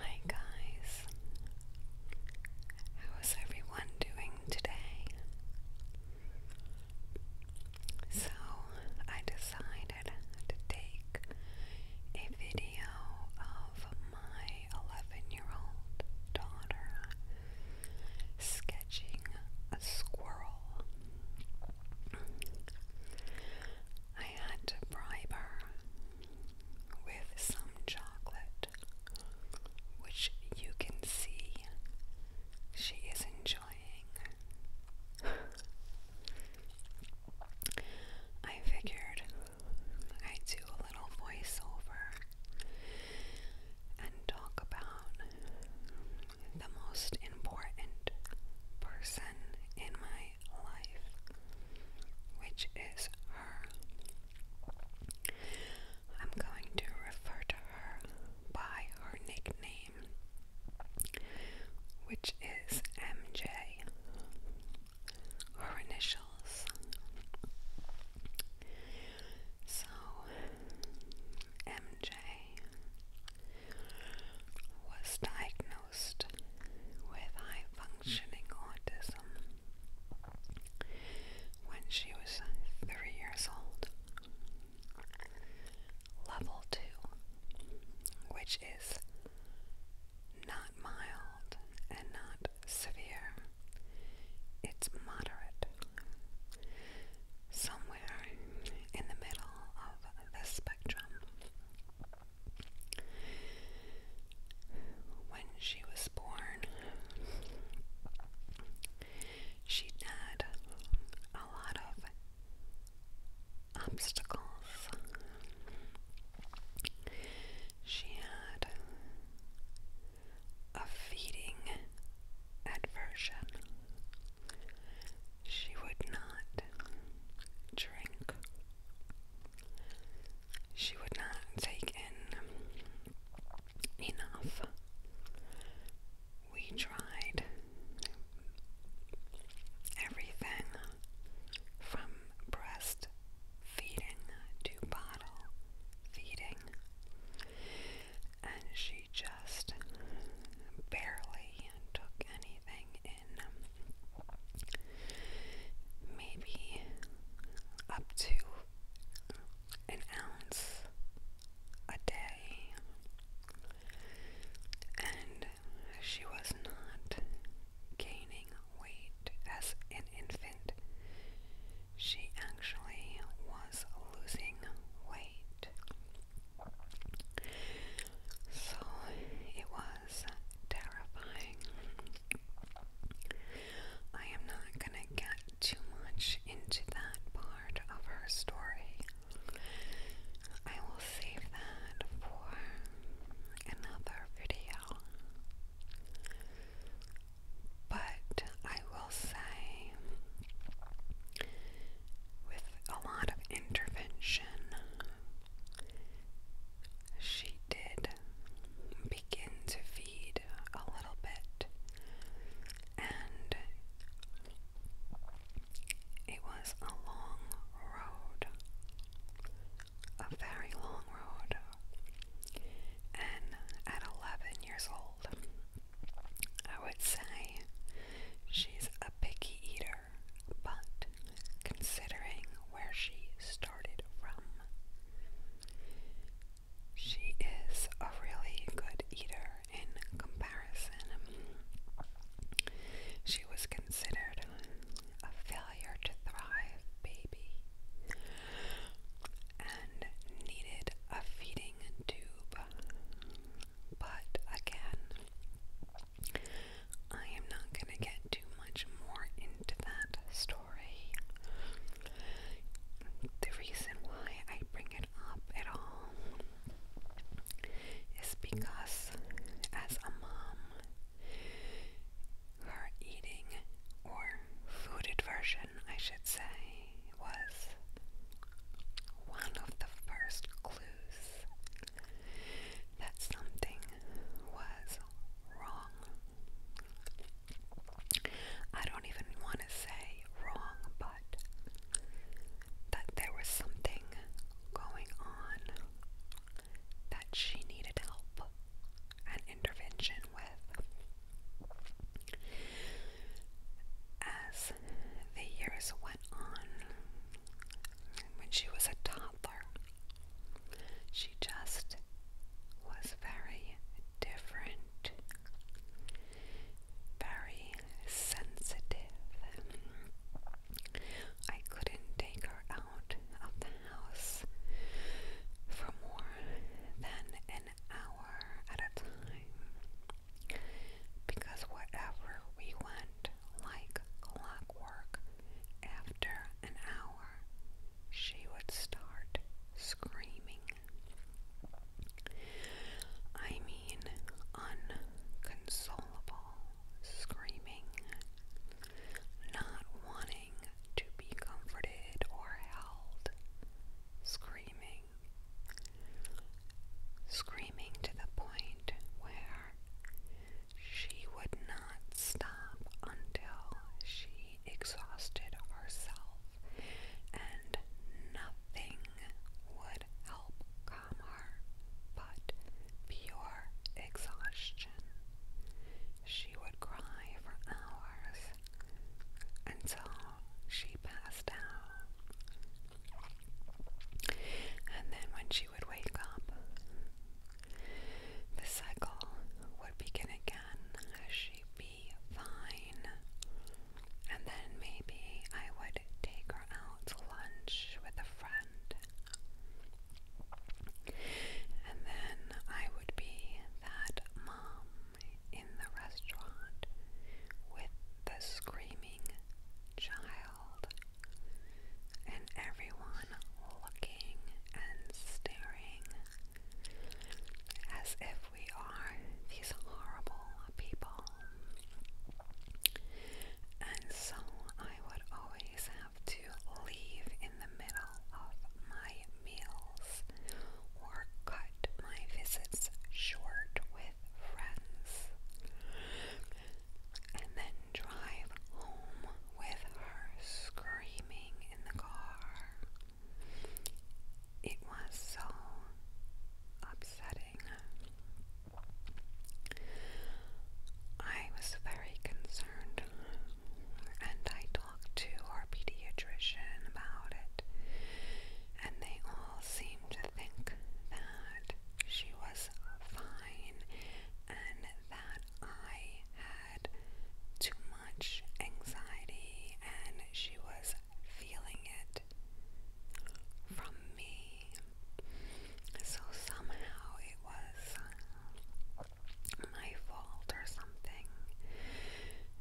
Hi guys, how is everyone doing today? So, I decided to take a video of my 11 year old daughter sketching a squirrel. I had to bribe her with some chocolate, which you can see she is enjoying. I figured I'd do a little voiceover and talk about the most important person in my life, which is her. I'm going to refer to her by her nickname, which is MJ, her initials. So, MJ was diagnosed with high functioning autism when she was three years old. Level 2, which is not mild and not severe, it's moderate. Somewhere in the middle of the spectrum. When she was born, she had a lot of obstacles. She had a feeding aversion. She would not drink. She would not take in enough. We tried everything from breast feeding to bottle feeding, and she just barely took anything maybe up to an ounce a day, and she was not gaining weight as an infant. She actually was losing weight. So it was terrifying. I am not going to get too much into that part of her story. I will save that for another video. But I will say, with a lot of intervention she did begin to feed a little bit, and it was a long road, a very long road. And at 11 years old, I would say she's a picky eater but considering where she started from, she is a really good eater in comparison. She was considered a failure to thrive baby and needed a feeding tube. But again, I am not going to get too much more into that story. The reason why I bring it up at all is because, as a mom, her eating or food aversion, I should say, was one of the first clues that something was wrong. I don't even want to say wrong, but that there was something going on that she needed help and intervention with. As the years went on, when she was a toddler. She just was very different, very sensitive. I couldn't take her out of the house for more than an hour at a time because wherever we went, like clockwork. After an hour, she would start screaming. I mean, unconsolable screaming, not wanting to be comforted or held, screaming, screaming to the point where she would not stop until she exhausted herself and nothing would help calm her but pure exhaustion. She would cry for hours until she passed out. And then when she she would wake up. The cycle would begin again as she'd be fine. And then maybe I would take her out to lunch with a friend. And then I would be that mom in the restaurant with the screaming child and everyone looking and staring as if we are these horrible people. And so I would always have to leave in the middle of my meals or cut my visits short with friends and then drive home with her screaming in the car. It was so upsetting. I was very concerned and I talked to our pediatrician about it, and they all seemed to think that she was fine and that I had too much anxiety and she was feeling it from me. So somehow it was my fault or something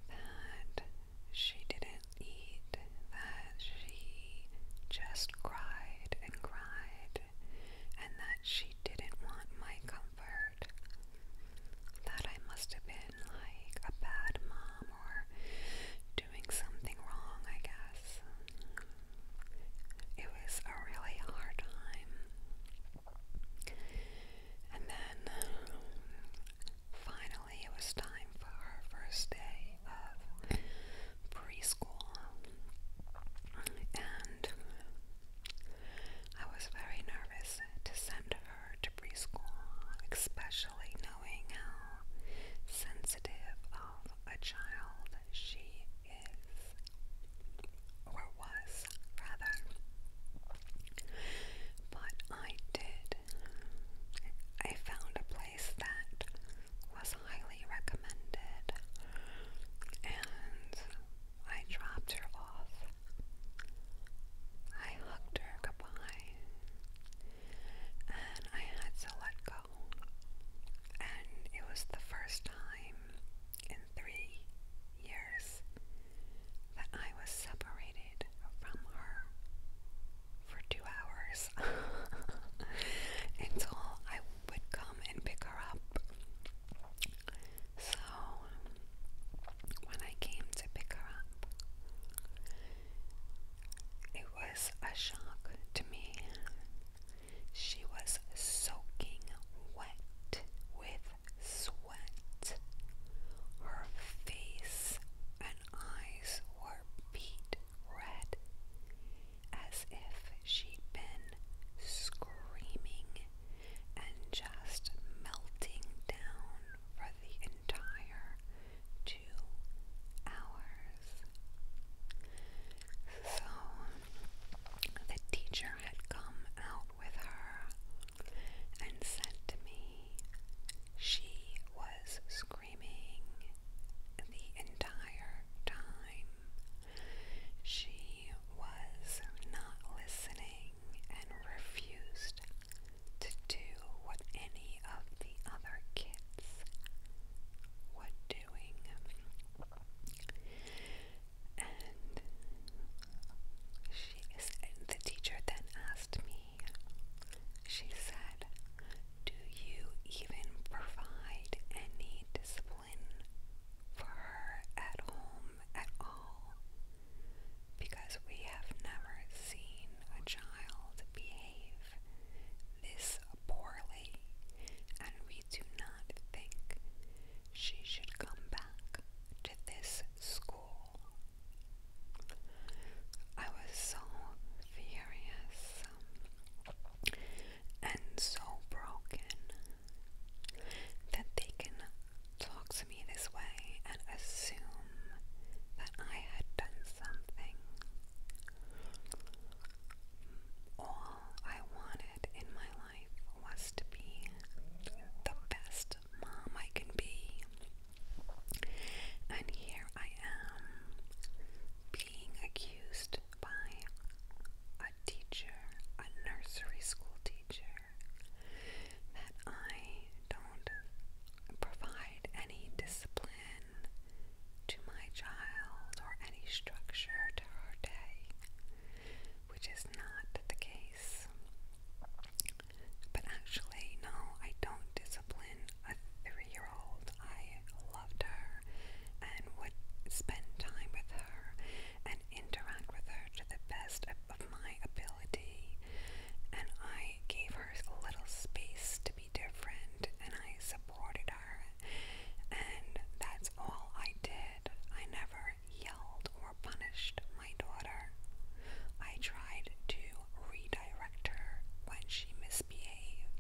that she didn't eat that she just cried and cried and that she didn't want my comfort. That I must have been like a bad mom or doing something wrong, I guess. It was a really hard time. And then finally it was time for her first day of preschool, and I was very nervous to send her to preschool, especially knowing how sensitive of a child she is, or was rather. But I did. I found a place that was highly recommended, and I dropped her off. I hugged her goodbye, and I had to let go. And it was the first time in three years that I was separated from her for two hours until I would come and pick her up. So, when I came to pick her up, it was a shock to me. She was soaking wet with sweat. Her face and eyes were beat red, as if she'd been screaming and just melting down for the entire two hours. So the teacher had come out with her and said to me, she was screaming the entire time. She was not listening and refused to do what any of the other kids were doing. And she is, the teacher then asked me, she said, do you even provide any discipline for her at home at all? Because we have never seen a child behave this poorly, and we do not think she should come back to this school. I was so furious and so broken that they can talk to me this way and assume that I had done something. All I wanted in my life was to be the best mom I can be. And here I am, being accused by a teacher, a nursery school teacher, that I don't provide any discipline to my child or any structure to her day, which is not the case. But actually, no, I don't a three-year-old. I loved her and would spend time with her and interact with her to the best of, my ability. And I gave her little space to be different and I supported her. And that's all I did. I never yelled or punished my daughter. I tried to reach director when she misbehaved.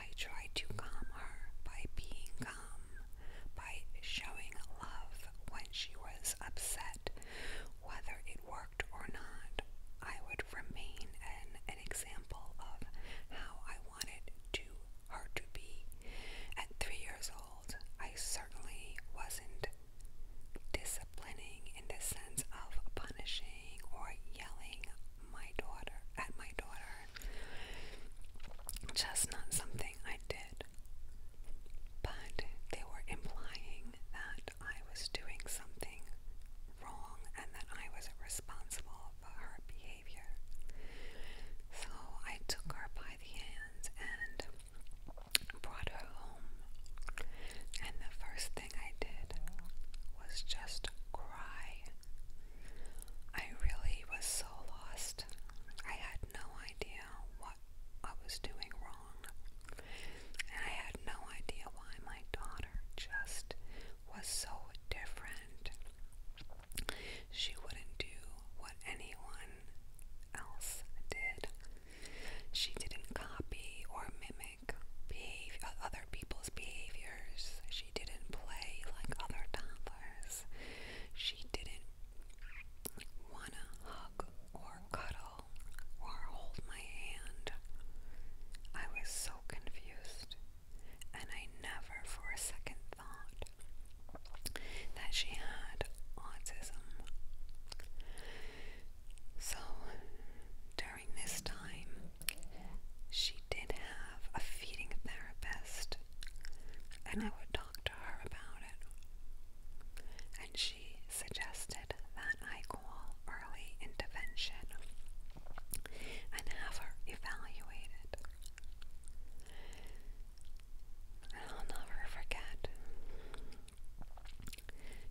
I tried to calm her by being calm, by showing love when she was upset. Whether it worked or not, I would remain an, an example of how I wanted to her to be. At three years old, I certainly wasn't disciplining in the sense of punishing or yelling my daughter at my daughter. Just not something I did. But they were implying that I was doing something wrong and that I was responsible for her behavior. So I took her by the hands and brought her home. And the first I did was just cry. I really was so lost. I had no idea what I was doing wrong. And I had no idea why my daughter just was so different. She wouldn't do what anyone else did. She didn't copy or mimic mimic other people's behaviors. She didn't play like other toddlers. She didn't wanna hug or cuddle or hold my hand. I was so confused, and I never for a second thought that she had autism. So during this time, she did have a feeding therapist, and I would talk to her about it. And she suggested that I call early intervention and have her evaluated. I'll never forget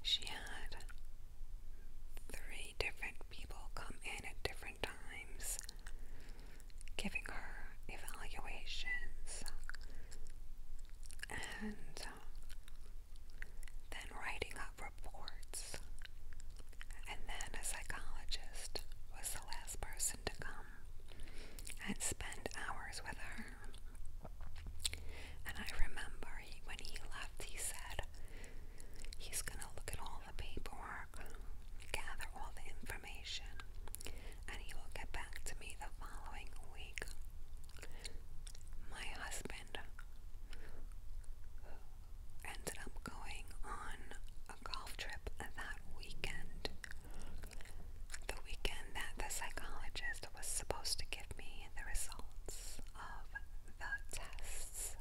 she had three different people come in at different times, giving her evaluations and uh, then writing up reports. And then a psychologist was the last person to come and spend hours with her. And I remember when he left, he said he's going to look at all the paperwork, gather all the information, and he will get back to me the following week. My husband ended up going on a golf trip that weekend. The weekend that the psychologist was supposed to give me the results of the tests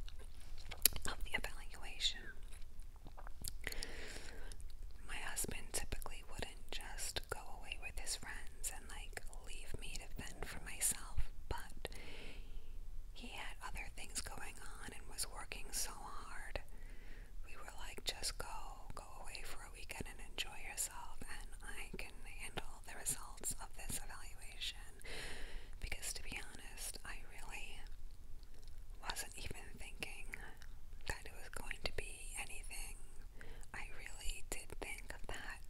of the evaluation. My husband typically wouldn't just go away with his friends and like leave me to fend for myself, but he had other things going on and was working so hard. We were like, just go, go away for a weekend and enjoy yourself. And I can can handle the results of this evaluation because, to be honest, I really wasn't even thinking that it was going to be anything. I really did think that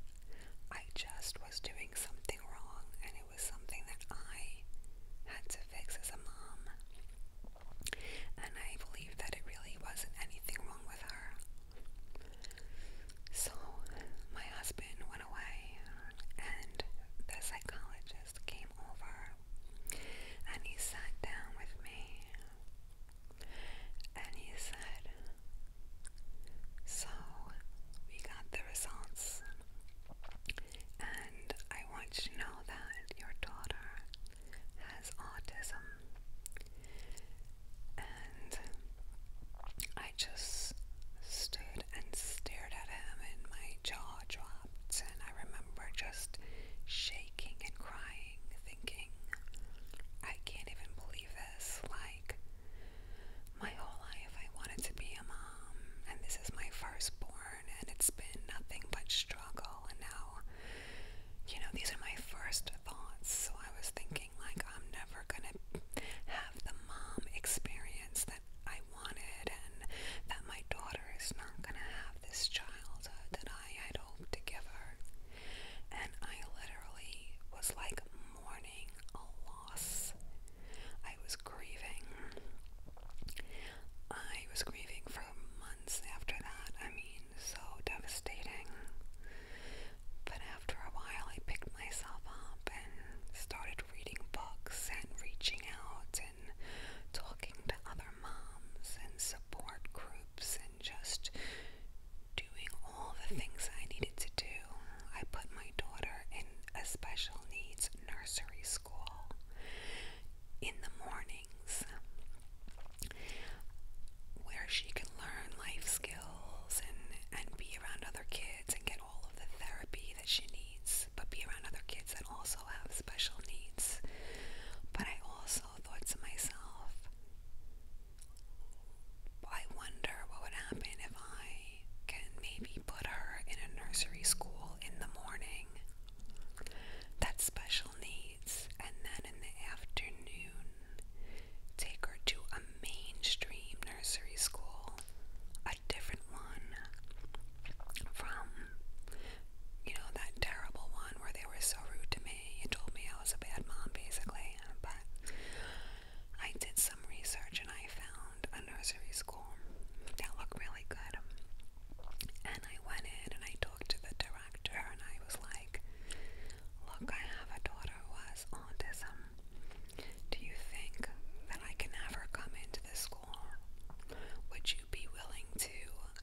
I just was doing something wrong and it was something that I had to fix as a mom. And I believe that it really wasn't anything wrong with her. So my husband went away and the psychologist came over and he sat down with me and he said, So we got the results and I want you to know that your daughter has autism and I just stood and stared at him, and my jaw dropped. And I remember just shaking and crying, thinking, I can't even believe this. Like, my whole life I wanted to be a mom, and this is my firstborn, and it's been nothing but struggle. And now, you know, these are my first thoughts. So I was thinking, like, I'm never never gonna have the mom experience that I wanted, and that my daughter is not gonna have this childhood that I had hoped to give her. And I literally was like mourning a loss. I was grieving. I was grieving for months after that. I mean, so devastating. But after a while, I picked myself up and started reading books and reaching out and talking to other moms and support groups and just doing all the things I needed to do. I put my daughter in a special needs nursery school in the mornings where she can learn life skills and, and be around other kids and get all of the therapy that she needs, but be around other kids that also have special needs. But I also thought to myself, I wonder what would happen if I can maybe put her in a nursery school in the morning that's special needs, and then in the afternoon Take her to a mainstream nursery school, a different one from, you know, that terrible one where they were so rude to me and told me I was a bad mom, basically. But I did some research and I found a nursery school that looked really good. And I went in and I talked to the director and I was like, Look, I have a daughter daughter was autism. Do you think that I can have her come into the school? Would you be willing to,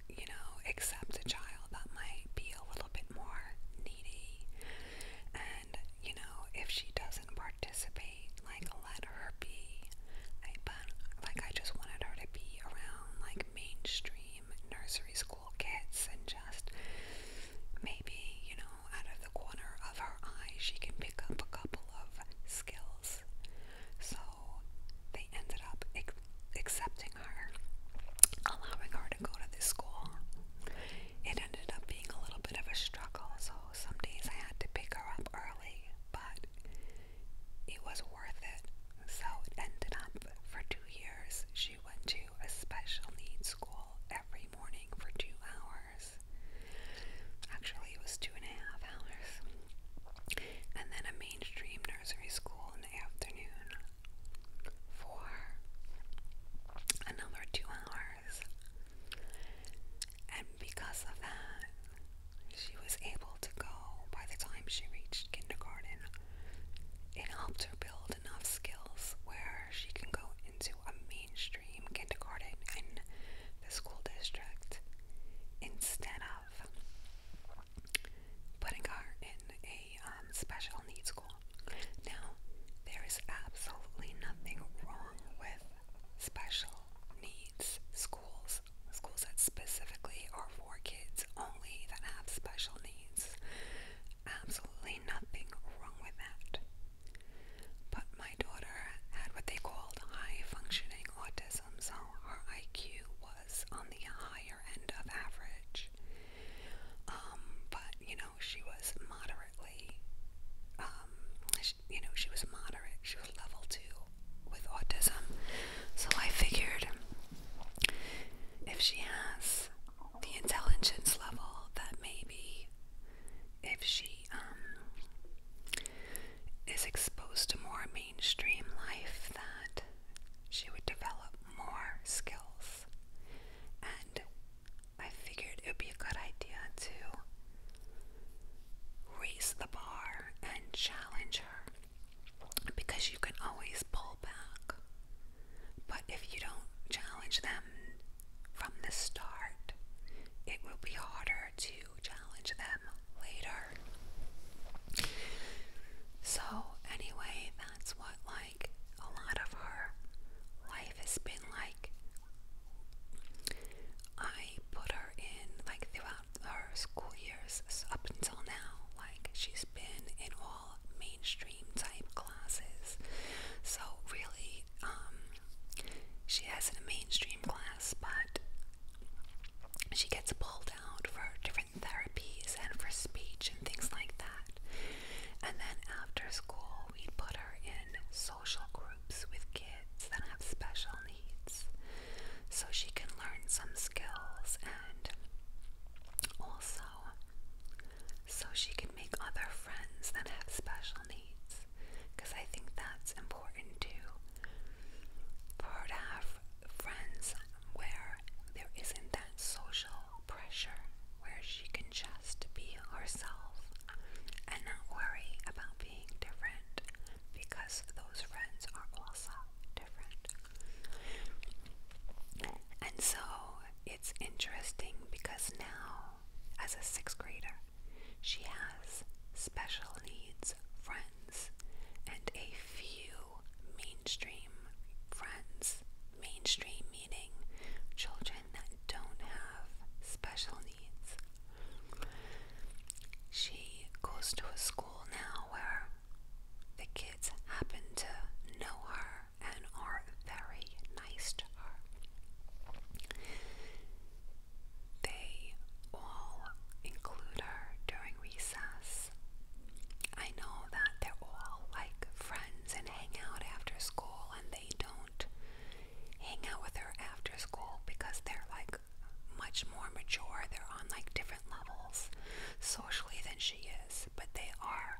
you know, accept a child that might be a little bit more needy? And, you know, if she doesn't participate, like let her be. I, but like I just wanted her to be around like mainstream nursery school school kids and just maybe, you know, out of the corner of her eye, she can pick up a couple of skills. So they ended up ac accepting her, allowing her to go to this school. It ended up being a little bit of a struggle, so some days I had to pick her up early, but it was worth it. So it ended up for two years. She she went to a special needs school every morning for two hours. Actually, it was two and a half hours. And then a mainstream nursery school in the afternoon for another two hours. And because of that, she was able to go by the time she reached kindergarten it helped her build enough skills where she can go into a mainstream kindergarten in the school district instead of putting her in a um, special needs school. Now, there is absolutely nothing wrong with special needs schools, schools that specifically are for kids only that have special needs absolutely nothing wrong with that. But my daughter had what they called high functioning autism, so her IQ was on the higher end of average. Um, but you know, she was moderately, um, she, you know, she was moderate, she was level two with autism. So I figured if she has the intelligence level that maybe if she um, is exposed to more mainstream life that she would develop more skills and I figured it would be a good idea to raise the bar and challenge her because you can always pull back but if you don't challenge them from the start, it will be harder to challenge them later. So, anyway, that's what like a lot of her life has been like. I put her in like throughout her school years up until now, like she's been in all all mainstream type classes. So really, um, she has in a mainstream class, but she gets pulled out for different therapies and for speech and things like that. And then after school, we put her in social groups with kids that have special needs so she can learn some skills and also so she can make other friends that have special needs. Because I think that's important too. For her to have friends where there isn't that social pressure, where she can just be herself and not worry about being different because those friends are also different. And so it's interesting because now, as a sixth grader, she has special needs friends and a few mainstream friends. Mainstream meaning children that don't have special needs. She goes to a school now where the kids happen to know her and are very nice to her. They all include her during recess. I know that they're all like friends and hang out after school, and they don't hang out with her after school because they're like much more mature. They're on like different levels socially than she is, but they are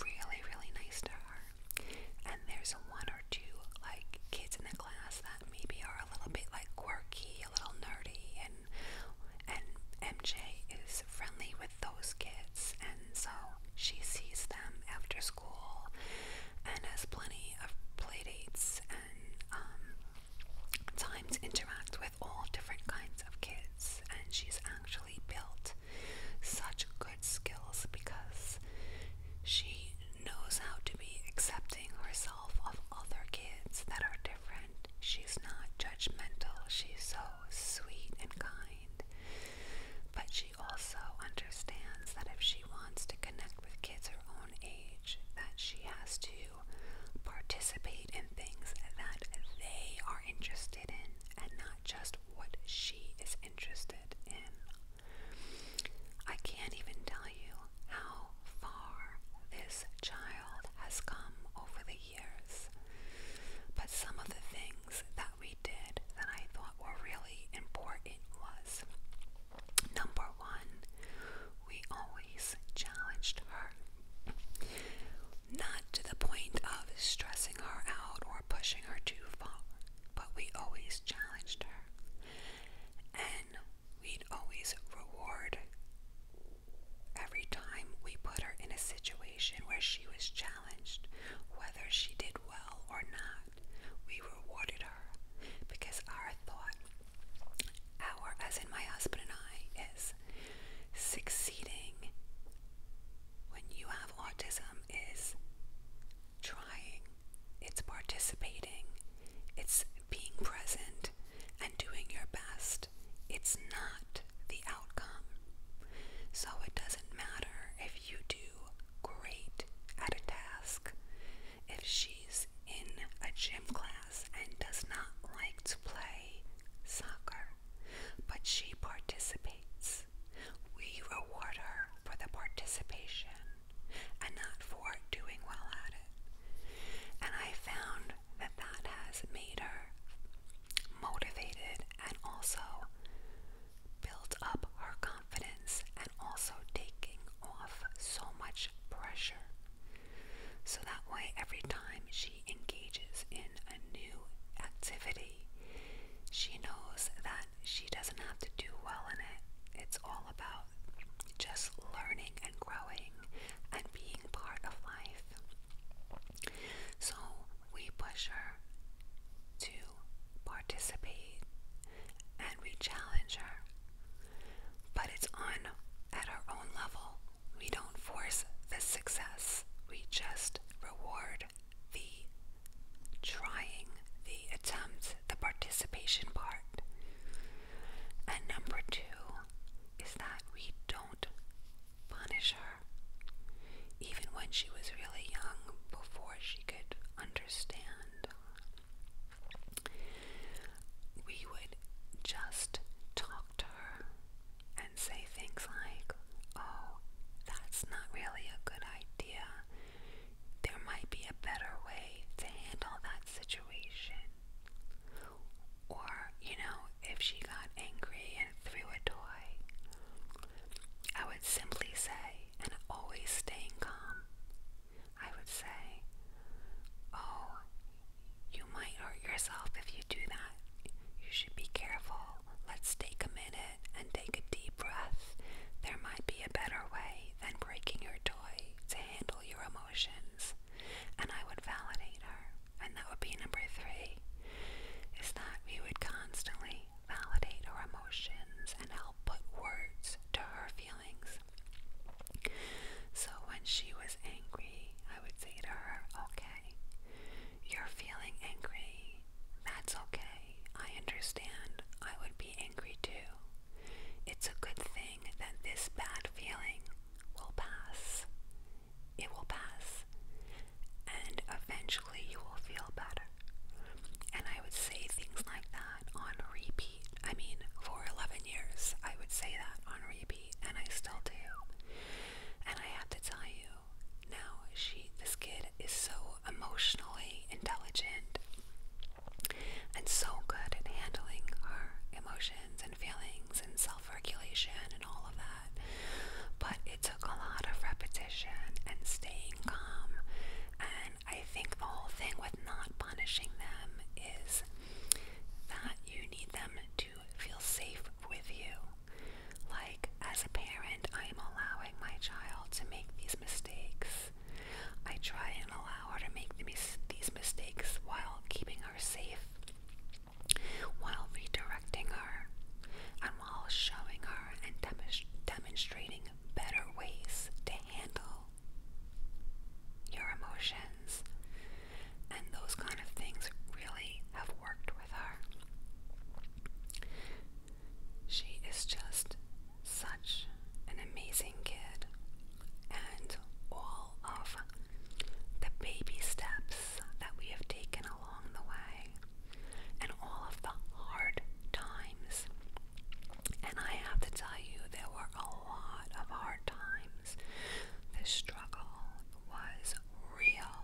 really, really nice to her. And there's one or two like kids in the class that maybe are a little bit like quirky, a little nerdy, and and MJ is friendly with those kids, and so she sees them after school and has plenty of playdates and um, time to interact with all different kinds of kids. And she's actually actually built such good skills because she knows how to be accepting herself of other kids that are different. She's not judgmental, she's so sweet and kind. But she also understands that if she wants to connect with kids her own age, that she has to participate in things that they are interested in and not just what she is interested in. I can't even tell you how far this child has come over the years, but some of the things that we did that I thought were really important was number one, we always challenged her not to the point of stressing her out or pushing her too far, but we always challenged her. And we'd always reward every time we put her in a situation where she was challenged, whether she did well or not. We rewarded her because our thought, our, as in my husband and I, is succeeding when you have autism is trying, it's participating, it's being present and doing your best. It's not the outcome. So it doesn't matter if you do great at a task. If she's in a gym class and does not like to play soccer, but she participates. We reward her for the participation and not for doing well at it. And I found that that has made her motivated and also built up her confidence and also taking off so much pressure. So that way, every time she engages in a new activity, she knows that she doesn't have to do well in it. It's all about just learning and growing and being part of life. So we push her to participate and we challenge her. But it's on at her own level. We don't force the success, we just reward the trying, the attempt, the participation part. And number two is that we don't punish her. Even when she was really young, before she could understand, we would just talk to her and say things like, oh, that's not really a good idea. There might be a better way to handle that situation. Or, you know, if she got angry and threw a toy, I would simply say, and always staying calm, I would say, oh, you might hurt yourself if you do that. You should be careful. Let's take a minute and take a deep breath. There might be a better way than breaking your toy to handle your emotions. And I would validate her. And that would be number three is that we would constantly validate our emotions and help put words to her feelings. So when she was angry, I would say to her, okay. You're feeling angry. That's okay. I understand. I would be angry too. It's a good thing that this bad feeling will pass. It will pass. And eventually you will feel better. And I would say things like that on repeat. I mean, for 11 years, I would say that on repeat, and I still do. And I have to tell you, now she this kid is so emotionally intelligent and so good at handling her emotions and feelings and self-regulation and all of that. But it took a lot of repetition and staying calm. And I think the whole thing with not punishing them is that you need them to feel safe with you. Like, as a parent, I am allowing my child to make these mistakes. I try and allow her to make these mistakes while keeping her safe, while redirecting her, and while showing her and demonstrating better ways to handle your emotions and those kind of things really have worked with her. She is just such an amazing kid, and all of the baby steps that we have taken along the way, and all of the hard times. And I have to tell you, there were a lot of hard times. The struggle was real,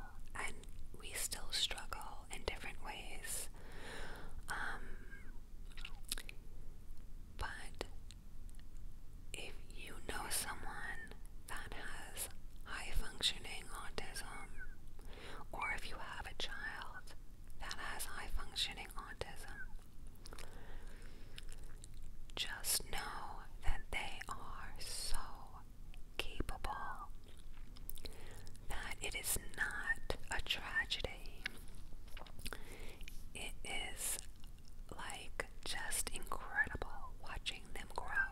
and we still struggle in different ways. Um, but if you know someone that has high functioning autism, or if you have a child that has high functioning autism, just know that they are so capable that it is not a tragedy. It is like just incredible watching them grow.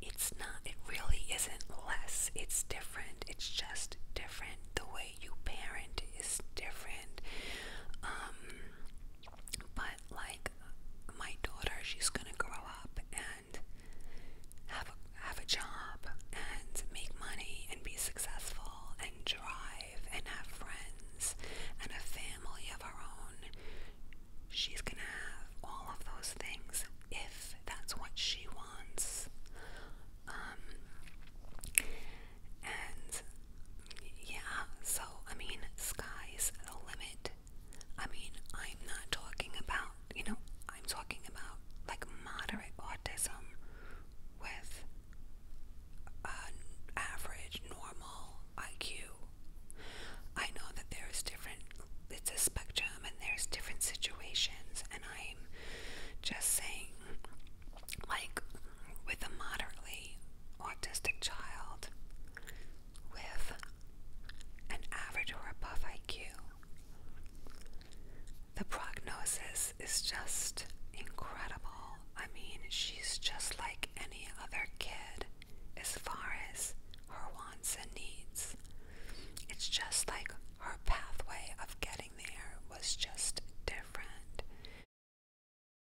It's not, it really isn't less, it's different, it's just different. The way you parent is different. Um, but not like my daughter. She's gonna grow up and have a, have a job and make money and be successful and drive and have friends and a family of her own. She's gonna have all of those things if that's what she wants. Um, and yeah, so I mean, sky's the limit. I mean, I'm not talking about, you know, I'm talking about like moderate autism with average, normal IQ. I know that there's different, it's a spectrum and there's different situations, and I'm just saying, like, with a moderately autistic child with an average or above IQ. The prognosis is just incredible. I mean, she's just like any other kid as far as her wants and needs. It's just like her pathway of getting there was just different.